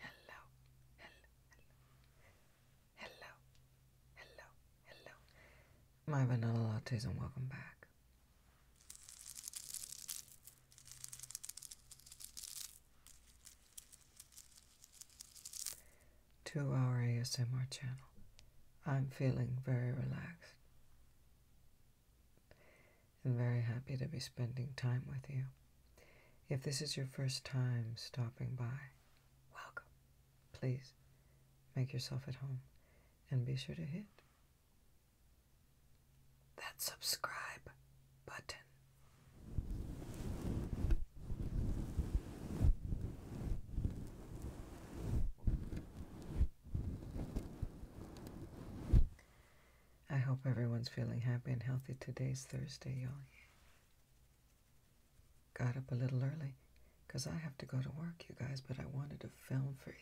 Hello, hello, hello, hello, hello. My vanilla lattes and welcome back to our ASMR channel. I'm feeling very relaxed and very happy to be spending time with you. If this is your first time stopping by, welcome. Please make yourself at home and be sure to hit that subscribe button. I hope everyone's feeling happy and healthy. Today's Thursday, y'all. Got up a little early because I have to go to work, you guys, but I wanted to film for you.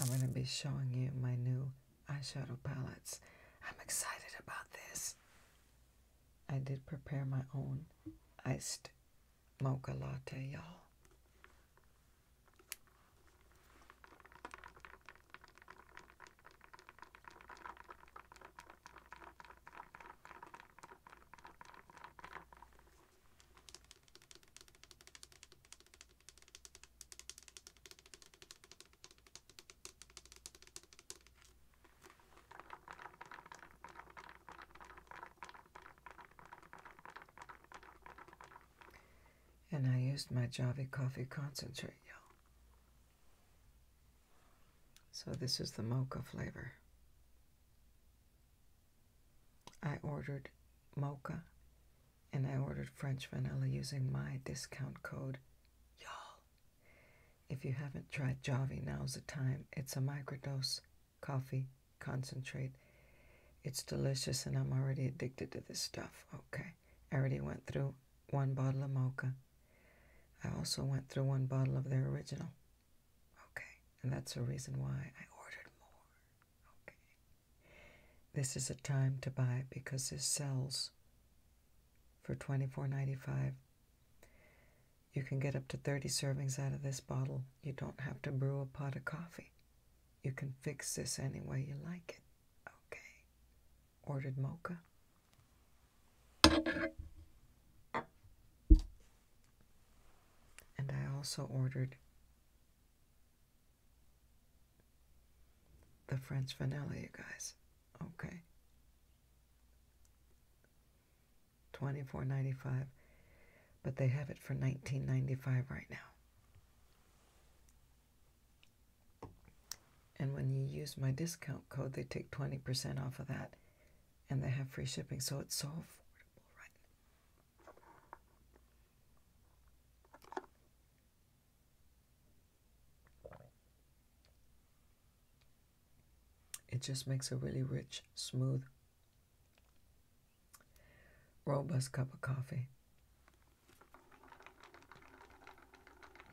I'm going to be showing you my new eyeshadow palettes. I'm excited about this. I did prepare my own iced mocha latte, y'all. And I used my Java coffee concentrate, y'all. So this is the mocha flavor. I ordered mocha and I ordered French vanilla using my discount code. Y'all, if you haven't tried Javi, now's the time. It's a microdose coffee concentrate. It's delicious, and I'm already addicted to this stuff. Okay, I already went through one bottle of mocha. I also went through one bottle of their original. Okay, and that's the reason why I ordered more. Okay. This is a time to buy because this sells for $24.95. You can get up to 30 servings out of this bottle. You don't have to brew a pot of coffee. You can fix this any way you like it. Okay. Ordered mocha. And I also ordered the French vanilla, you guys. Okay. Twenty-four ninety-five, but they have it for nineteen ninety-five right now. And when you use my discount code, they take twenty percent off of that, and they have free shipping, so it's so affordable right it just makes a really rich, smooth, robust cup of coffee.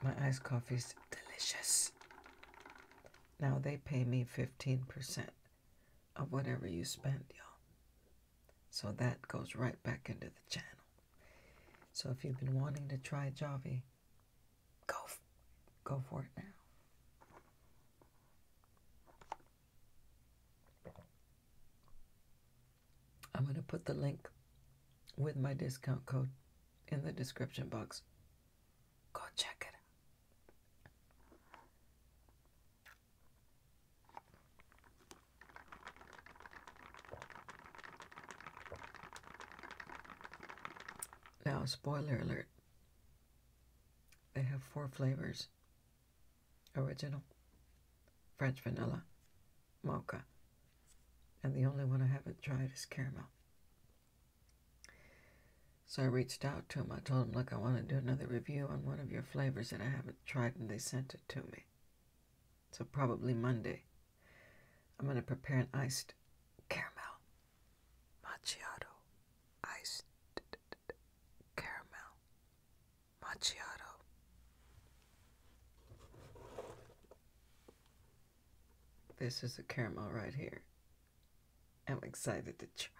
My iced coffee is delicious. Now they pay me 15% of whatever you spend, y'all. So that goes right back into the channel. So if you've been wanting to try Javi, go, go for it now. I'm going to put the link with my discount code in the description box. Go check it out. Now, spoiler alert, they have four flavors original, French vanilla, mocha, and the only one I haven't tried is caramel. So I reached out to him. I told him, Look, I want to do another review on one of your flavors that I haven't tried, and they sent it to me. So probably Monday. I'm going to prepare an iced caramel macchiato. Iced caramel macchiato. This is a caramel right here. I'm excited to try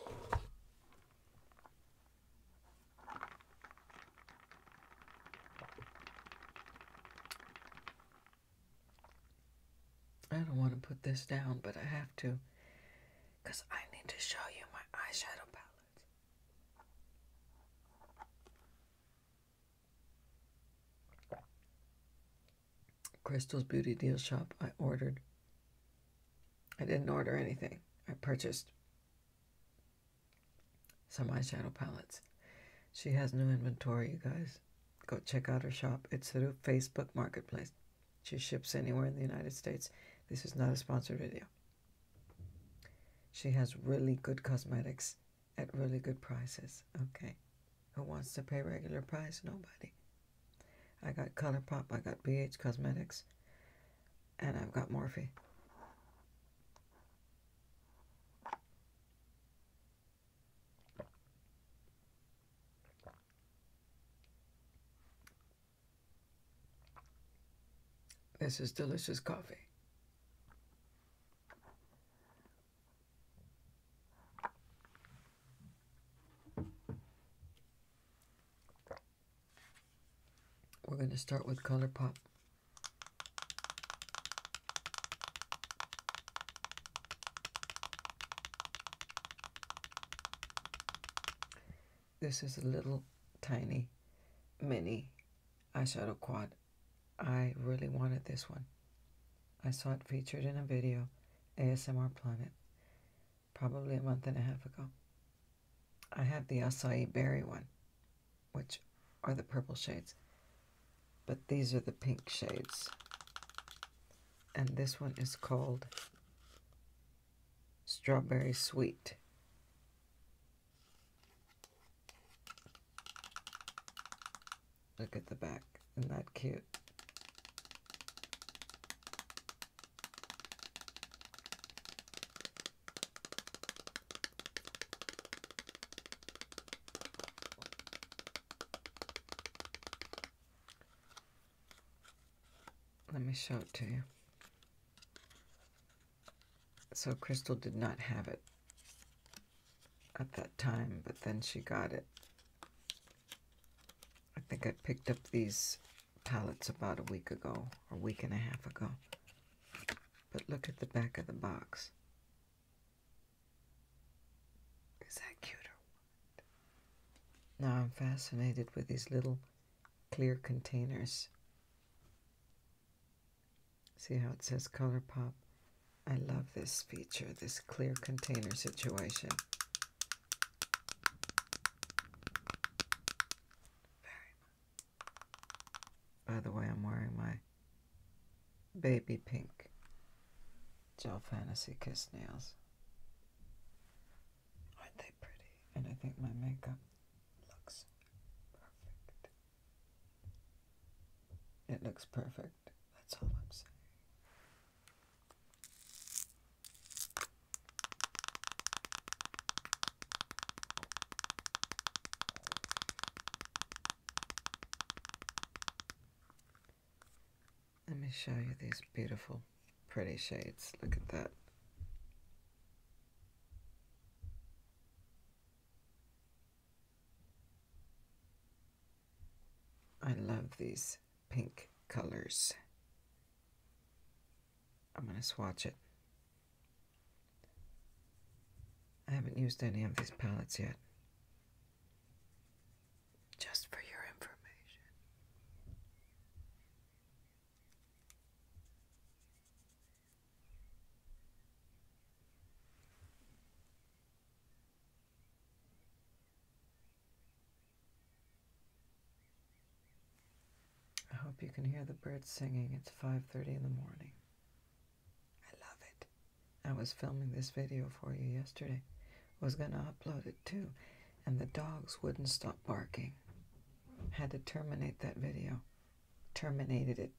it. I don't want to put this down, but I have to because I need to show you my eyeshadow palette. Crystal's Beauty Deal Shop, I ordered I didn't order anything. I purchased some eyeshadow palettes. She has new inventory, you guys. Go check out her shop. It's through Facebook Marketplace. She ships anywhere in the United States. This is not a sponsored video. She has really good cosmetics at really good prices. Okay. Who wants to pay regular price? Nobody. I got ColourPop. I got BH Cosmetics and I've got Morphe. This is delicious coffee. We're going to start with ColourPop. This is a little tiny mini eyeshadow quad. I really wanted this one. I saw it featured in a video, ASMR Planet probably a month and a half ago. I have the acai berry one, which are the purple shades, but these are the pink shades. And this one is called Strawberry Sweet. Look at the back. Isn't that cute? Let me show it to you. So Crystal did not have it at that time, but then she got it. I think I picked up these palettes about a week ago, or a week and a half ago. But look at the back of the box. Is that cute or what? Now I'm fascinated with these little clear containers. See how it says ColourPop? I love this feature, this clear container situation. By the way, I'm wearing my baby pink gel fantasy kiss nails. Aren't they pretty? And I think my makeup looks perfect. It looks perfect. That's all I'm saying. Let me show you these beautiful, pretty shades. Look at that. I love these pink colors. I'm going to swatch it. I haven't used any of these palettes yet. Just for your information. I hope you can hear the birds singing. It's 5:30 in the morning. I love it. I was filming this video for you yesterday. was going to upload it too, and the dogs wouldn't stop barking. Had to terminate that video. Terminated it.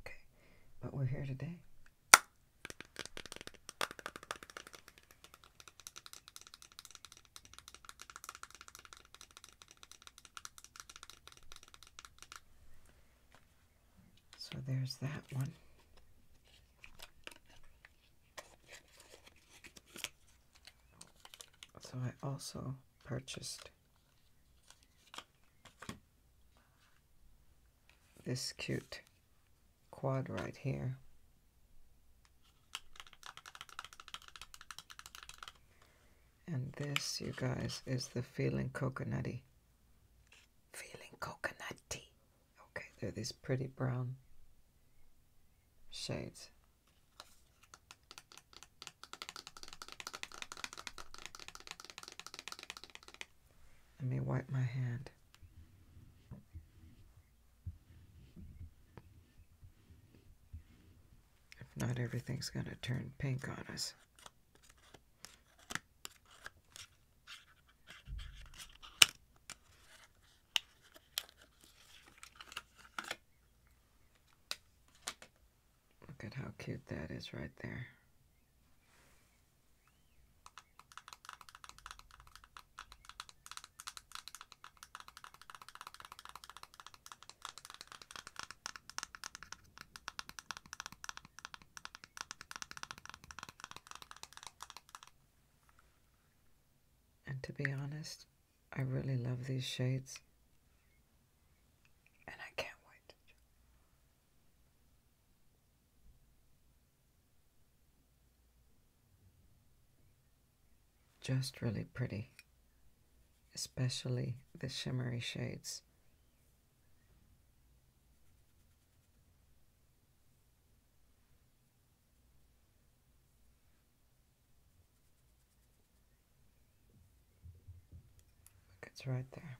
Okay. But we're here today. So there's that one. So I also purchased this cute quad right here and this, you guys, is the Feeling Coconutty. Feeling Coconutty. Okay, they're these pretty brown shades. Let me wipe my hand. If not, everything's going to turn pink on us. Look at how cute that is right there. And to be honest, I really love these shades. And I can't wait. Just really pretty, especially the shimmery shades. Look, it's right there.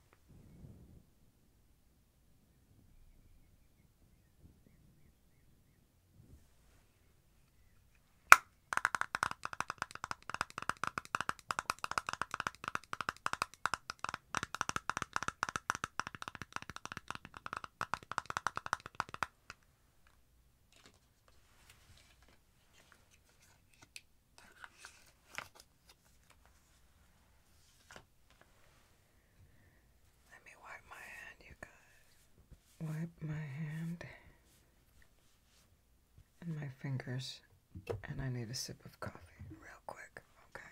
Let me wipe my hand, you guys wipe my hand and my fingers, and I need a sip of coffee real quick, okay?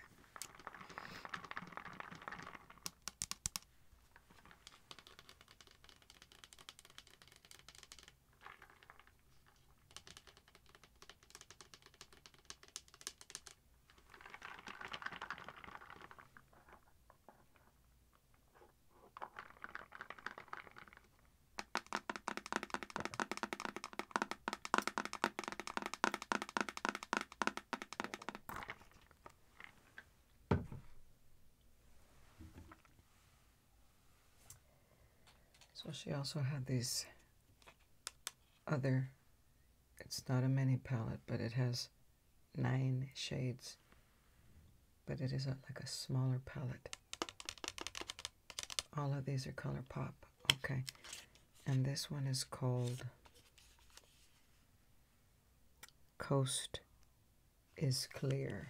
So she also had these other, it's not a mini palette, but it has nine shades, but it is like a smaller palette. All of these are Color Pop, Okay. And this one is called Coast is Clear.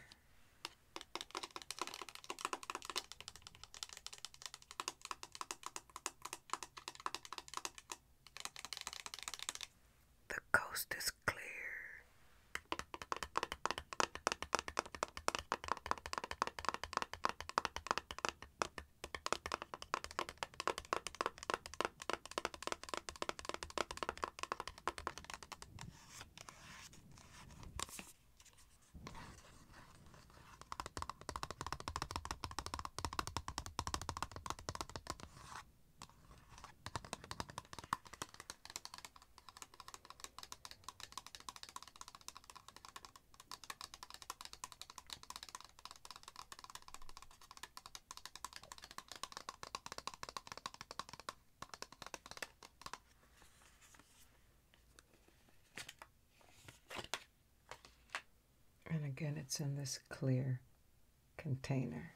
The coast is clear. And again, it's in this clear container.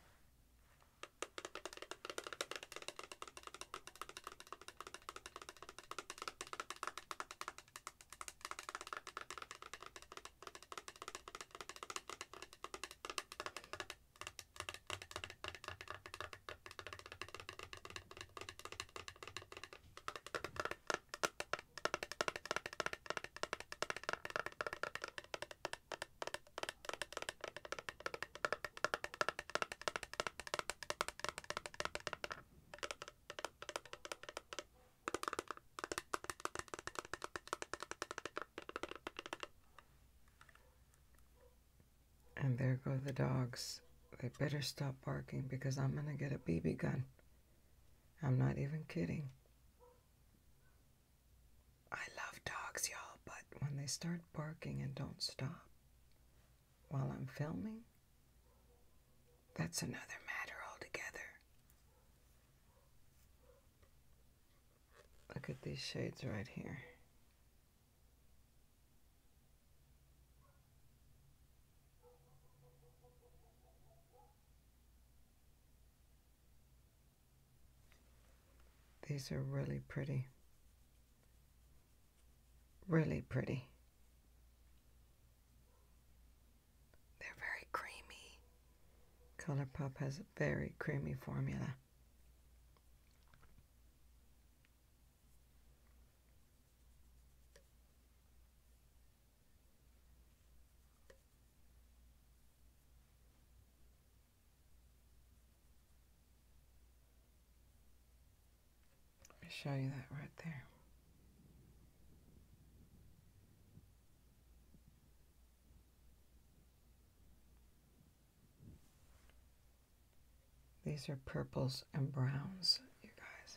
And there go the dogs. They better stop barking because I'm going to get a BB gun. I'm not even kidding. I love dogs, y'all, but when they start barking and don't stop while I'm filming, that's another matter altogether. Look at these shades right here. These are really pretty. Really pretty. They're very creamy. ColourPop has a very creamy formula. Let me show you that right there. These are purples and browns, you guys.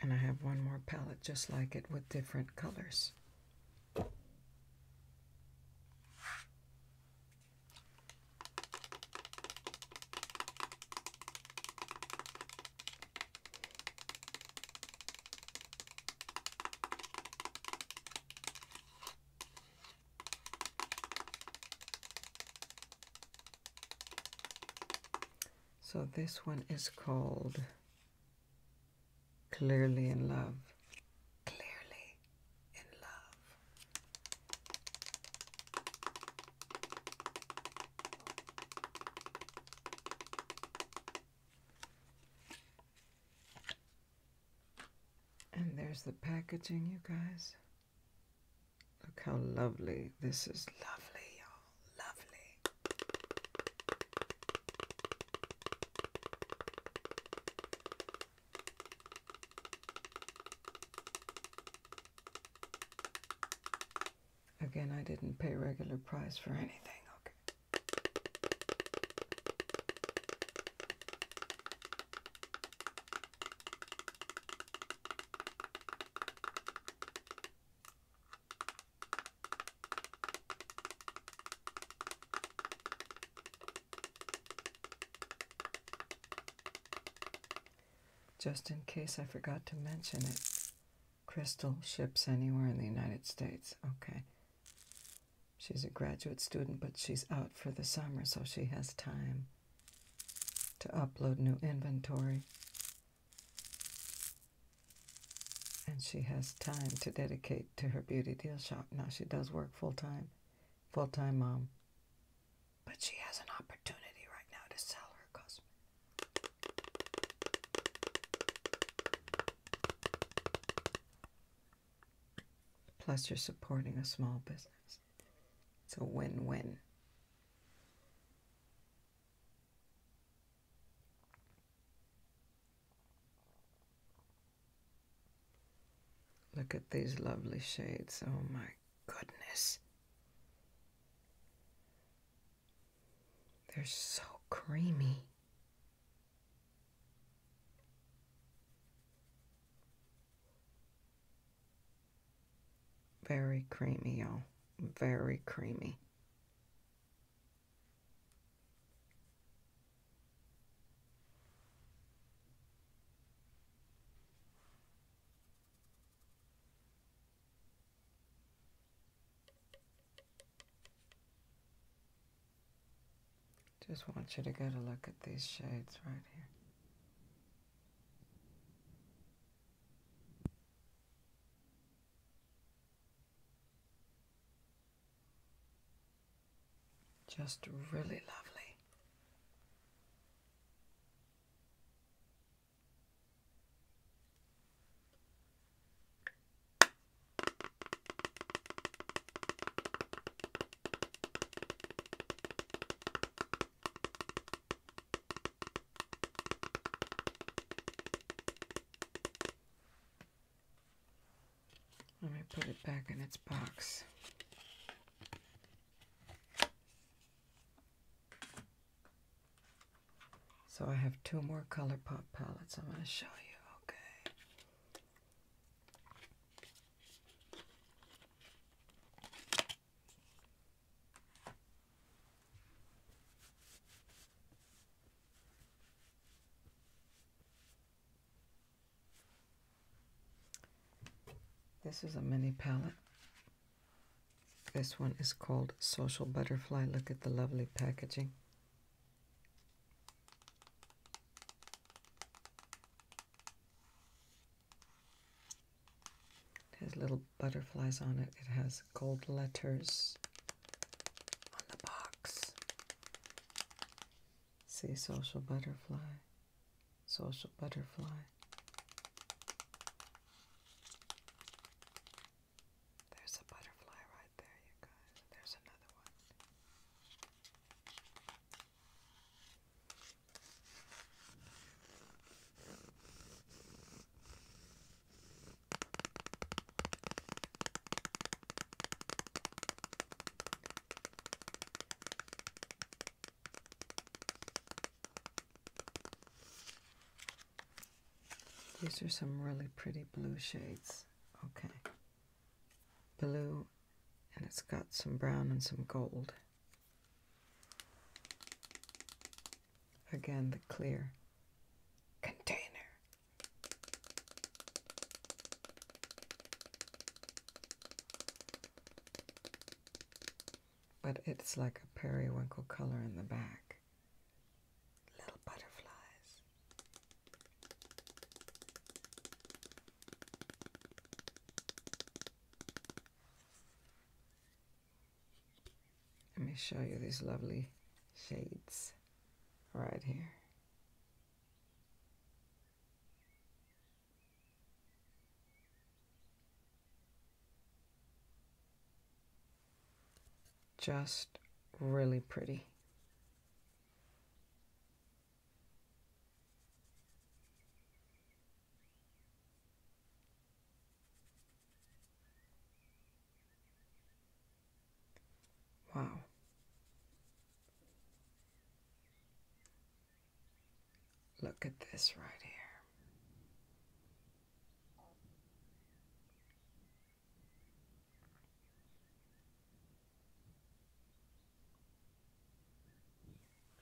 And I have one more palette just like it with different colors. So this one is called Clearly in Love. Clearly in Love. And there's the packaging, you guys. Look how lovely. This is lovely, y'all. Lovely. Again, I didn't pay regular price for anything. Okay. Just in case I forgot to mention it, Crystal ships anywhere in the United States. Okay, She's a graduate student, but she's out for the summer, so she has time to upload new inventory. And she has time to dedicate to her beauty deal shop. Now she does work full time, full time mom. But she has an opportunity right now to sell her cosmetics. Plus, you're supporting a small business. It's a win win. Look at these lovely shades. Oh my goodness. They're so creamy. Very creamy, oh, Very creamy. Just want you to get a look at these shades right here. Just really lovely. Let me put it back in its box. So I have two more ColourPop palettes I'm going to show you. Okay. This is a mini palette. This one is called Social Butterfly. Look at the lovely packaging. There's little butterflies on it. It has gold letters on the box. See, social butterfly, social butterfly. There's a butterfly there, you guys. There's another one. These are some really pretty blue shades. Okay blue, and it's got some brown and some gold. Again, the clear container. But it's like a periwinkle color in the back. Little butterflies. Let me show you these lovely shades right here. Just really pretty. Wow. Look at this right here.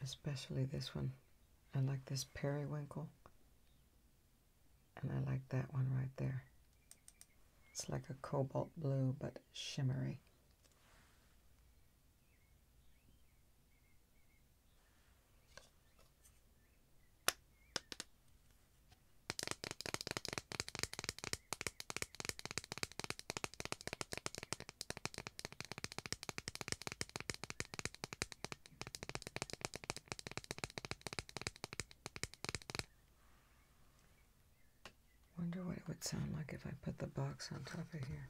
Especially this one. I like this periwinkle. And I like that one right there. It's like a cobalt blue, but shimmery. Wonder what it would sound like if I put the box on top of here.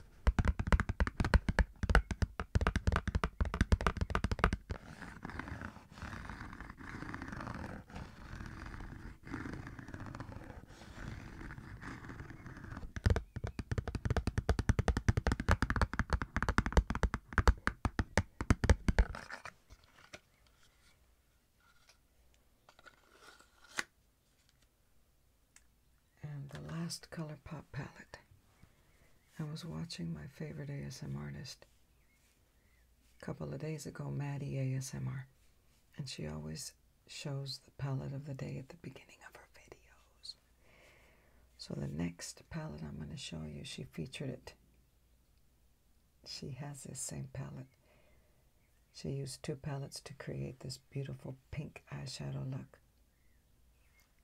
And the last color pop palette. I was watching my favorite ASMR artist a couple of days ago, Maddie ASMR and she always shows the palette of the day at the beginning of her videos. So the next palette I'm going to show you, she featured it. She has this same palette. She used two palettes to create this beautiful pink eyeshadow look.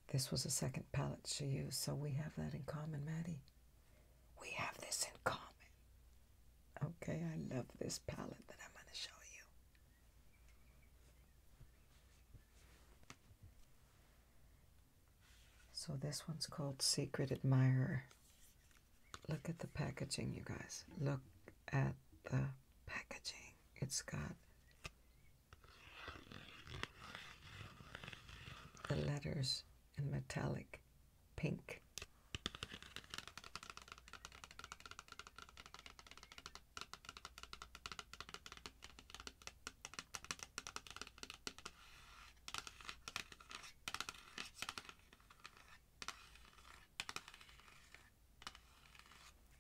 This was a second palette she used, so we have that in common, Maddie. We have this in common. Okay, I love this palette that I'm going to show you. So this one's called Secret Admirer. Look at the packaging, you guys. Look at the packaging. It's got the letters in metallic pink.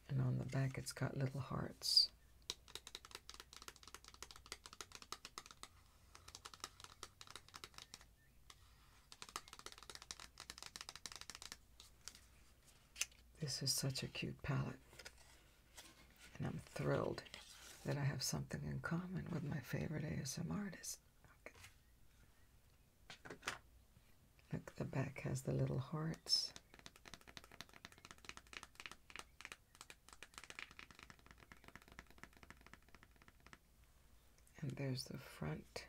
And on the back, it's got little hearts. This is such a cute palette. And I'm thrilled that I have something in common with my favorite ASM artist. Look, the back has the little hearts. And there's the front.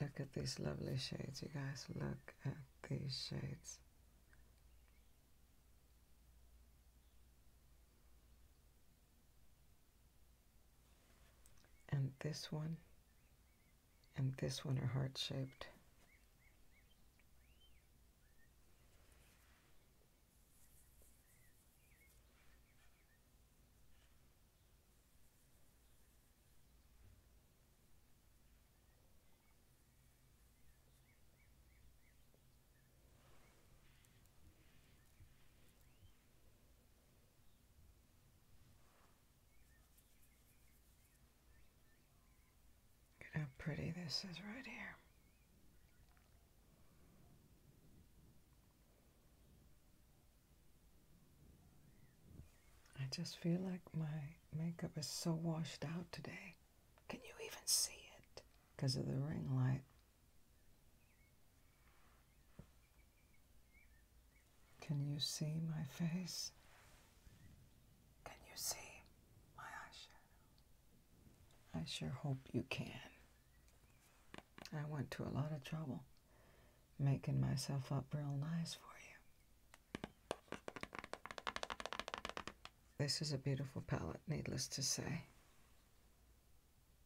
Look at these lovely shades, you guys. Look at these shades. And this one and this one are heart shaped. Look how pretty this is right here. I just feel like my makeup is so washed out today. Can you even see it? Because of the ring light. Can you see my face? Can you see my eyeshadow? I sure hope you can. I went to a lot of trouble making myself up real nice for you. This is a beautiful palette, needless to say.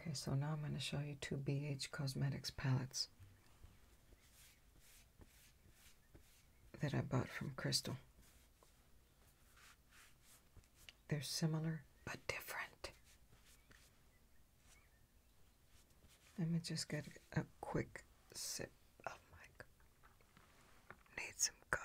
Okay, so now I'm going to show you two BH Cosmetics palettes that I bought from Crystal. They're similar but different. Let me just get a quick sip of my. Need some coffee.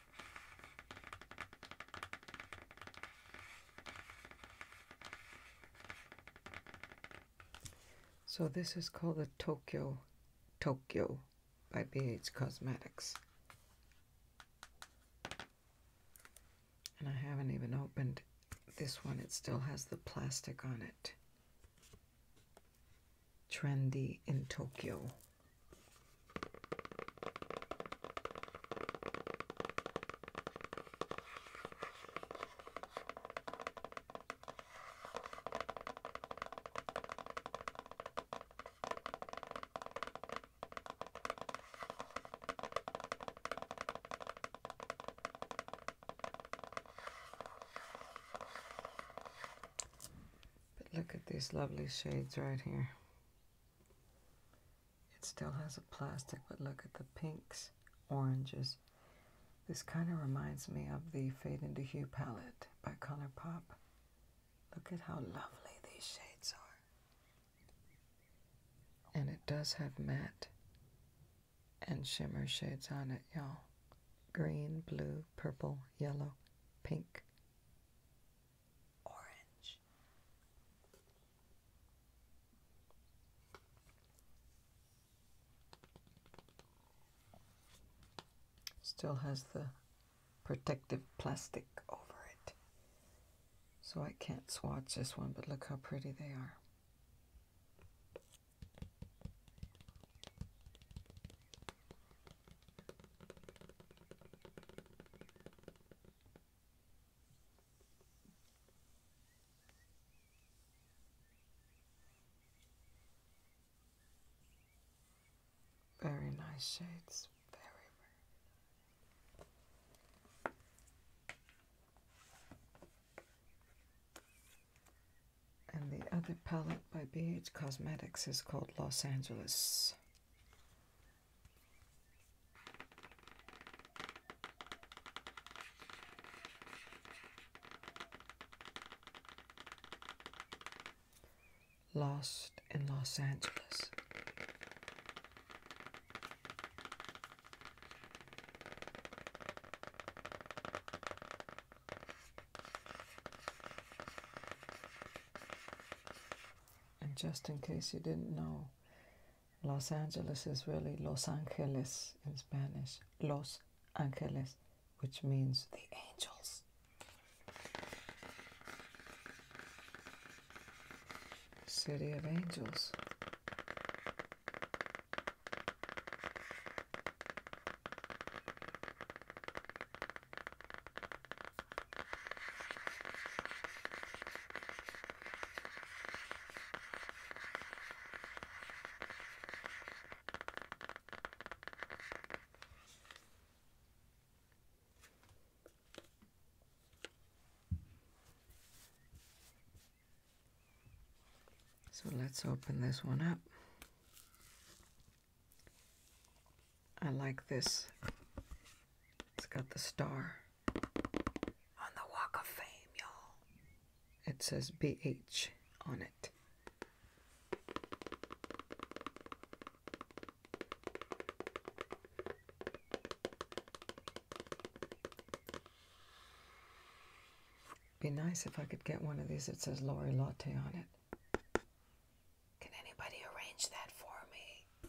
So this is called the Tokyo Tokyo by BH Cosmetics. And I haven't even opened this one. It still has the plastic on it. Trendy in Tokyo. But look at these lovely shades right here. It still has a plastic, but look at the pinks, oranges. This kind of reminds me of the Fade into Hue palette by Color Pop. Look at how lovely these shades are. And it does have matte and shimmer shades on it, y'all. Green, blue, purple, yellow, pink orange. Still has the protective plastic over it. So I can't swatch this one, but look how pretty they are. Very nice shades. Very, very And the other palette by BH Cosmetics is called Los Angeles. Lost in Los Angeles. And just in case you didn't know, Los Angeles is really Los Angeles in Spanish. Los Angeles, which means the angels. City of Angels. So let's open this one up. I like this. It's got the star. It says BH on it. Be nice if I could get one of these that says Lori Latte on it. Can anybody arrange that for me?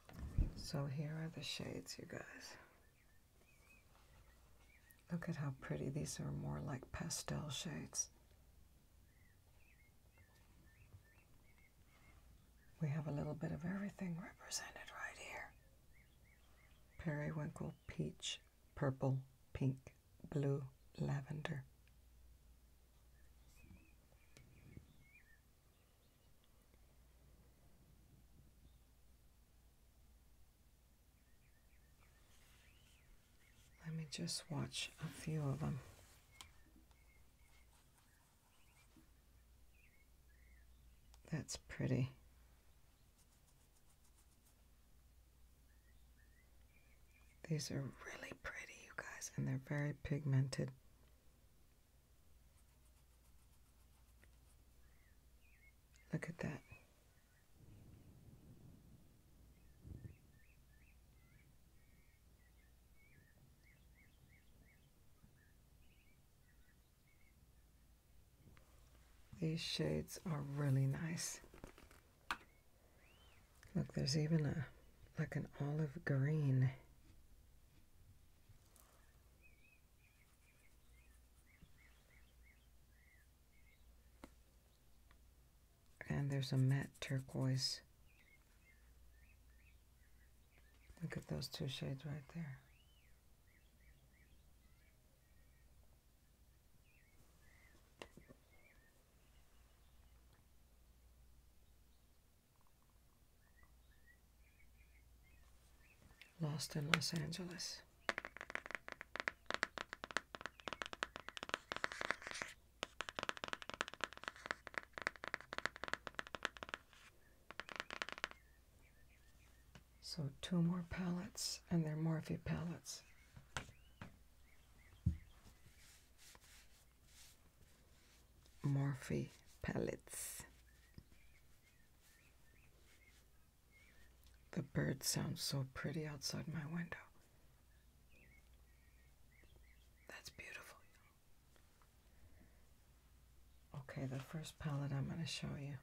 So here are the shades, you guys. Look at how pretty. These are more like pastel shades. We have a little bit of everything represented right here. Periwinkle, peach, purple, pink, blue, lavender. Let me just watch a few of them. That's pretty. These are really pretty, you guys, and they're very pigmented. Look at that. These shades are really nice. Look, there's even a like an olive green. And there's a matte turquoise. Look at those two shades right there. Lost in Los Angeles. So two more pallets, and they're Morphe pallets. Morphe pellets. The birds sound so pretty outside my window. That's beautiful. Okay, the first pellet I'm going to show you.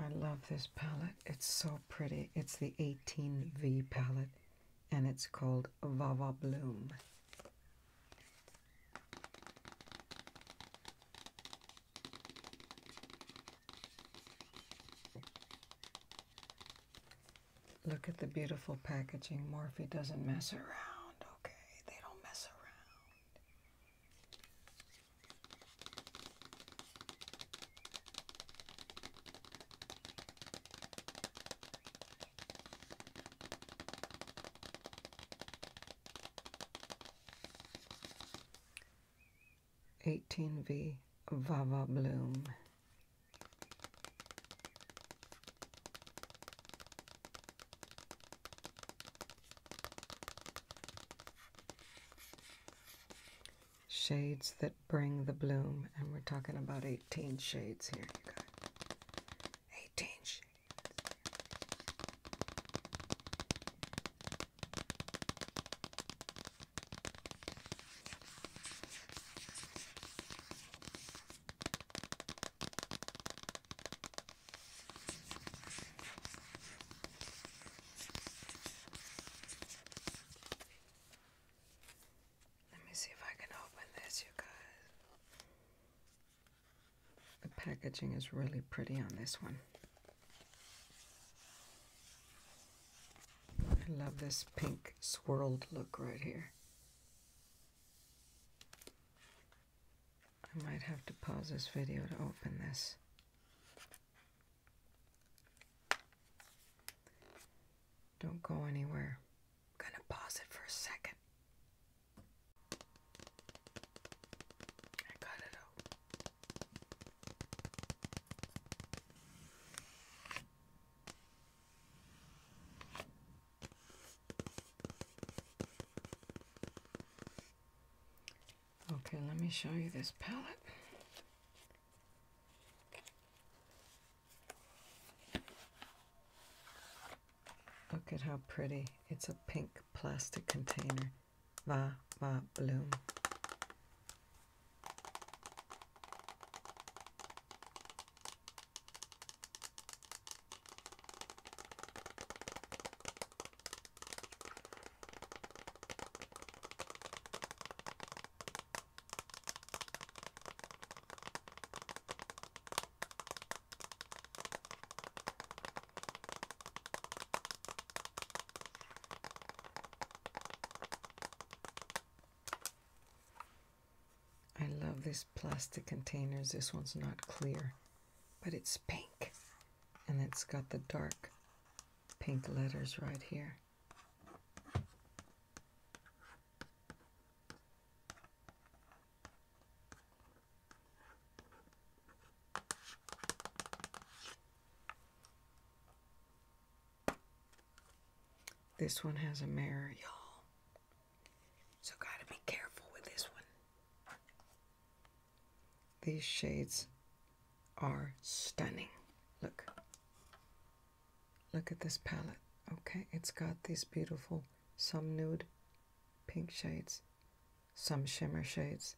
I love this palette. It's so pretty. It's the 18V palette and it's called Vava Bloom. Look at the beautiful packaging. Morphe doesn't mess around, okay? They don't mess around. 18V Vava Bloom. Shades that bring the bloom, and we're talking about 18 shades here, you guys. 18 shades. Let me see if I can open this, you guys. The packaging is really pretty on this one. I love this pink swirled look right here. I might have to pause this video to open this. Don't go anywhere. I'm gonna pause it for a second. I got it out. Okay, let me show you this palette. Look at how pretty. It's a pink plastic container va, va, bloom. I love these plastic containers. This one's not clear, but it's pink. And it's got the dark pink letters right here. This one has a mirror, y'all. So gotta be careful with this one. These shades are stunning. Look. Look at this palette. Okay, it's got these beautiful, some nude pink shades, some shimmer shades,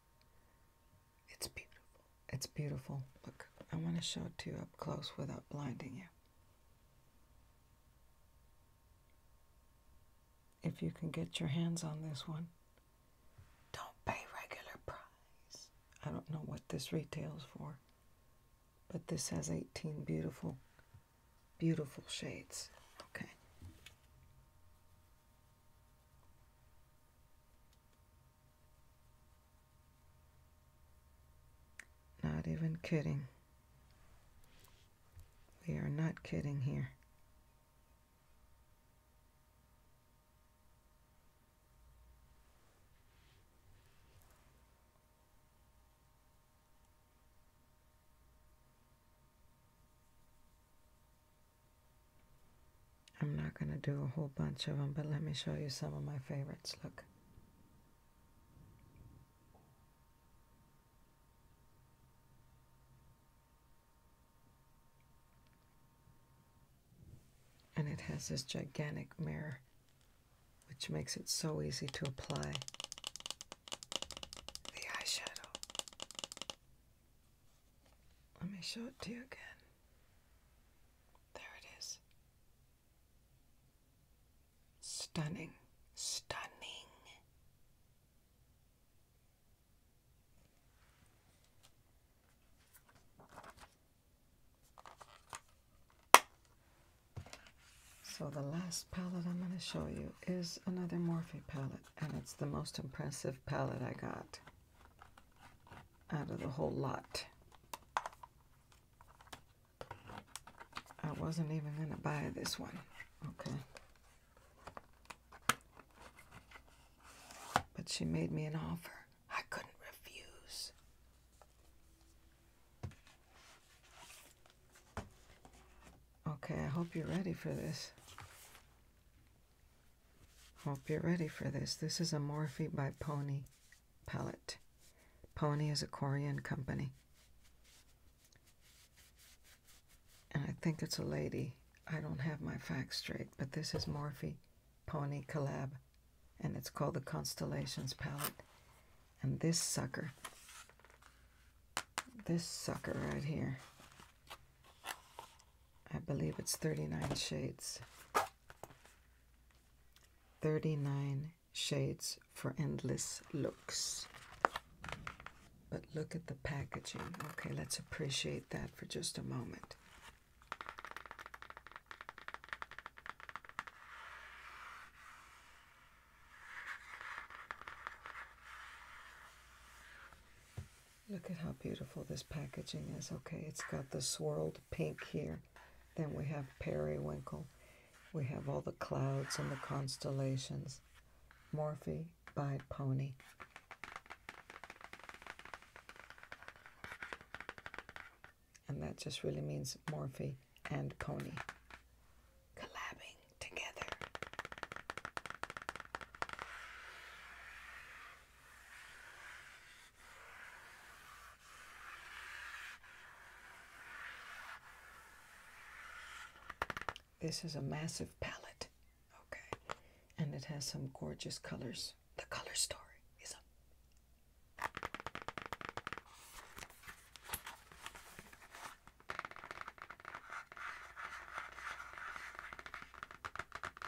it's beautiful. It's beautiful. Look, I want to show it to you up close without blinding you. If you can get your hands on this one, don't pay regular price. I don't know what this retails for, but this has 18 beautiful, beautiful shades. Okay. Not even kidding. We are not kidding here. I'm not going to do a whole bunch of them, but let me show you some of my favorites. Look. And it has this gigantic mirror, which makes it so easy to apply the eyeshadow. Let me show it to you again. There it is. Stunning. Stunning. So the last palette I'm going to show you is another Morphe palette, and it's the most impressive palette I got out of the whole lot. I wasn't even going to buy this one. Okay. But she made me an offer. I couldn't refuse. Okay, I hope you're ready for this. Hope you're ready for this. This is a Morphe by Pony palette. Pony is a Korean company. And I think it's a lady. I don't have my facts straight, but this is Morphe Pony Collab. And it's called the Constellations palette. And this sucker, this sucker right here, I believe it's 39 shades. 39 shades for endless looks. But look at the packaging. Okay, let's appreciate that for just a moment. Look at how beautiful this packaging is. Okay, it's got the swirled pink here. Then we have periwinkle. We have all the clouds and the constellations. Morphe by Pony. And that just really means Morphe and Pony. Collabing together. This is a massive palette, okay, and it has some gorgeous colors. The color story is up.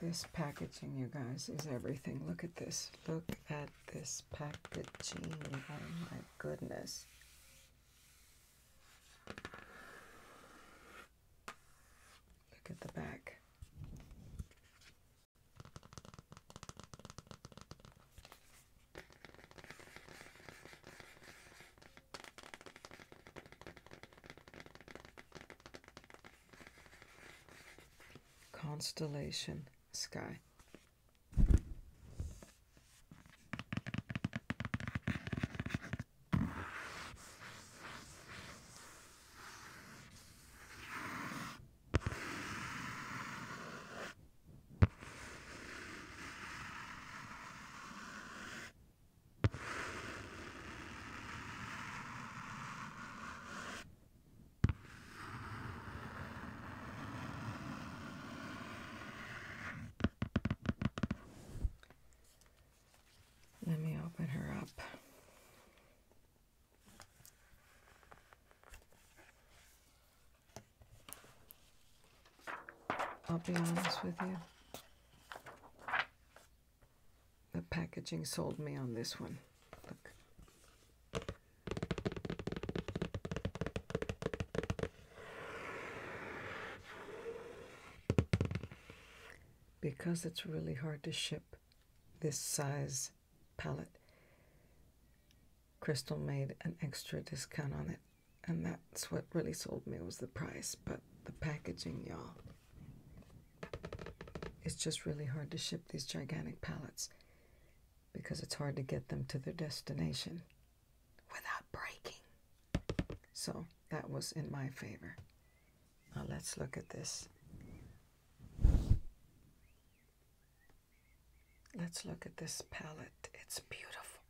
This packaging, you guys, is everything. Look at this. Look at this packaging. Oh my goodness. Look at the back constellation sky. Let me open her up. I'll be honest with you. The packaging sold me on this one. Because it's really hard to ship this size pallet. Crystal made an extra discount on it. And that's what really sold me was the price, but the packaging, y'all. It's just really hard to ship these gigantic pallets because it's hard to get them to their destination without breaking. So that was in my favor. Now let's look at this. Let's look at this palette. It's beautiful.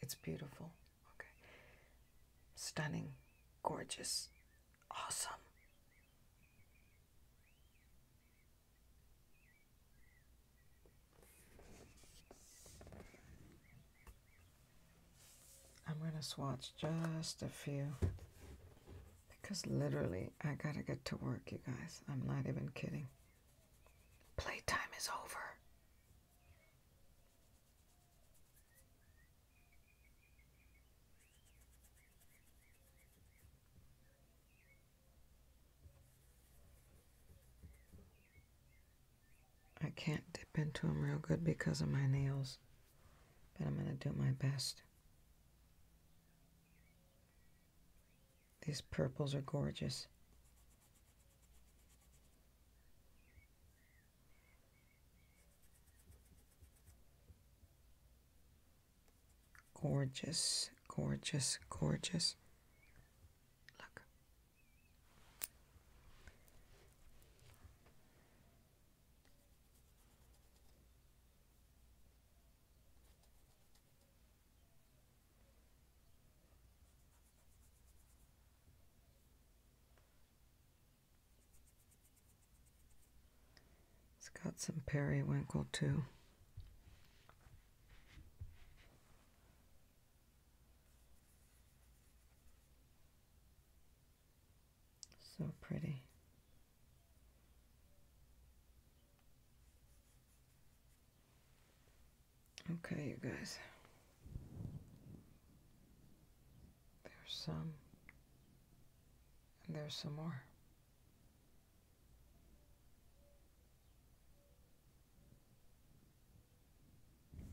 It's beautiful. Okay. Stunning. Gorgeous. Awesome. I'm going to swatch just a few because literally I got to get to work, you guys. I'm not even kidding. Playtime is over. I can't dip into them real good because of my nails, but I'm going to do my best. These purples are gorgeous. Gorgeous, gorgeous, gorgeous. Look. It's got some periwinkle too. So pretty. Okay, you guys. There's some. And there's some more.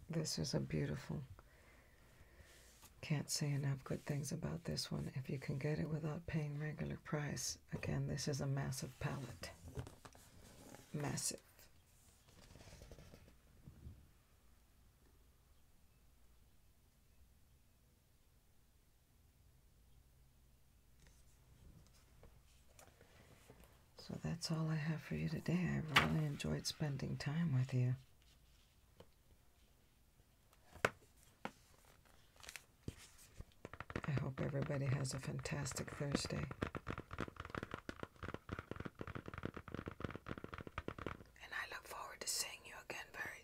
This is a beautiful. Can't say enough good things about this one. If you can get it without paying regular price, again, this is a massive palette. Massive. So that's all I have for you today. I really enjoyed spending time with you. I hope everybody has a fantastic Thursday. And I look forward to seeing you again very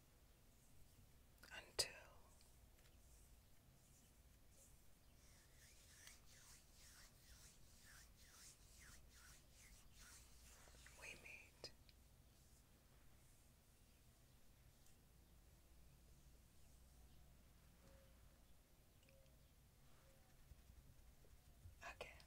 until we meet. Again.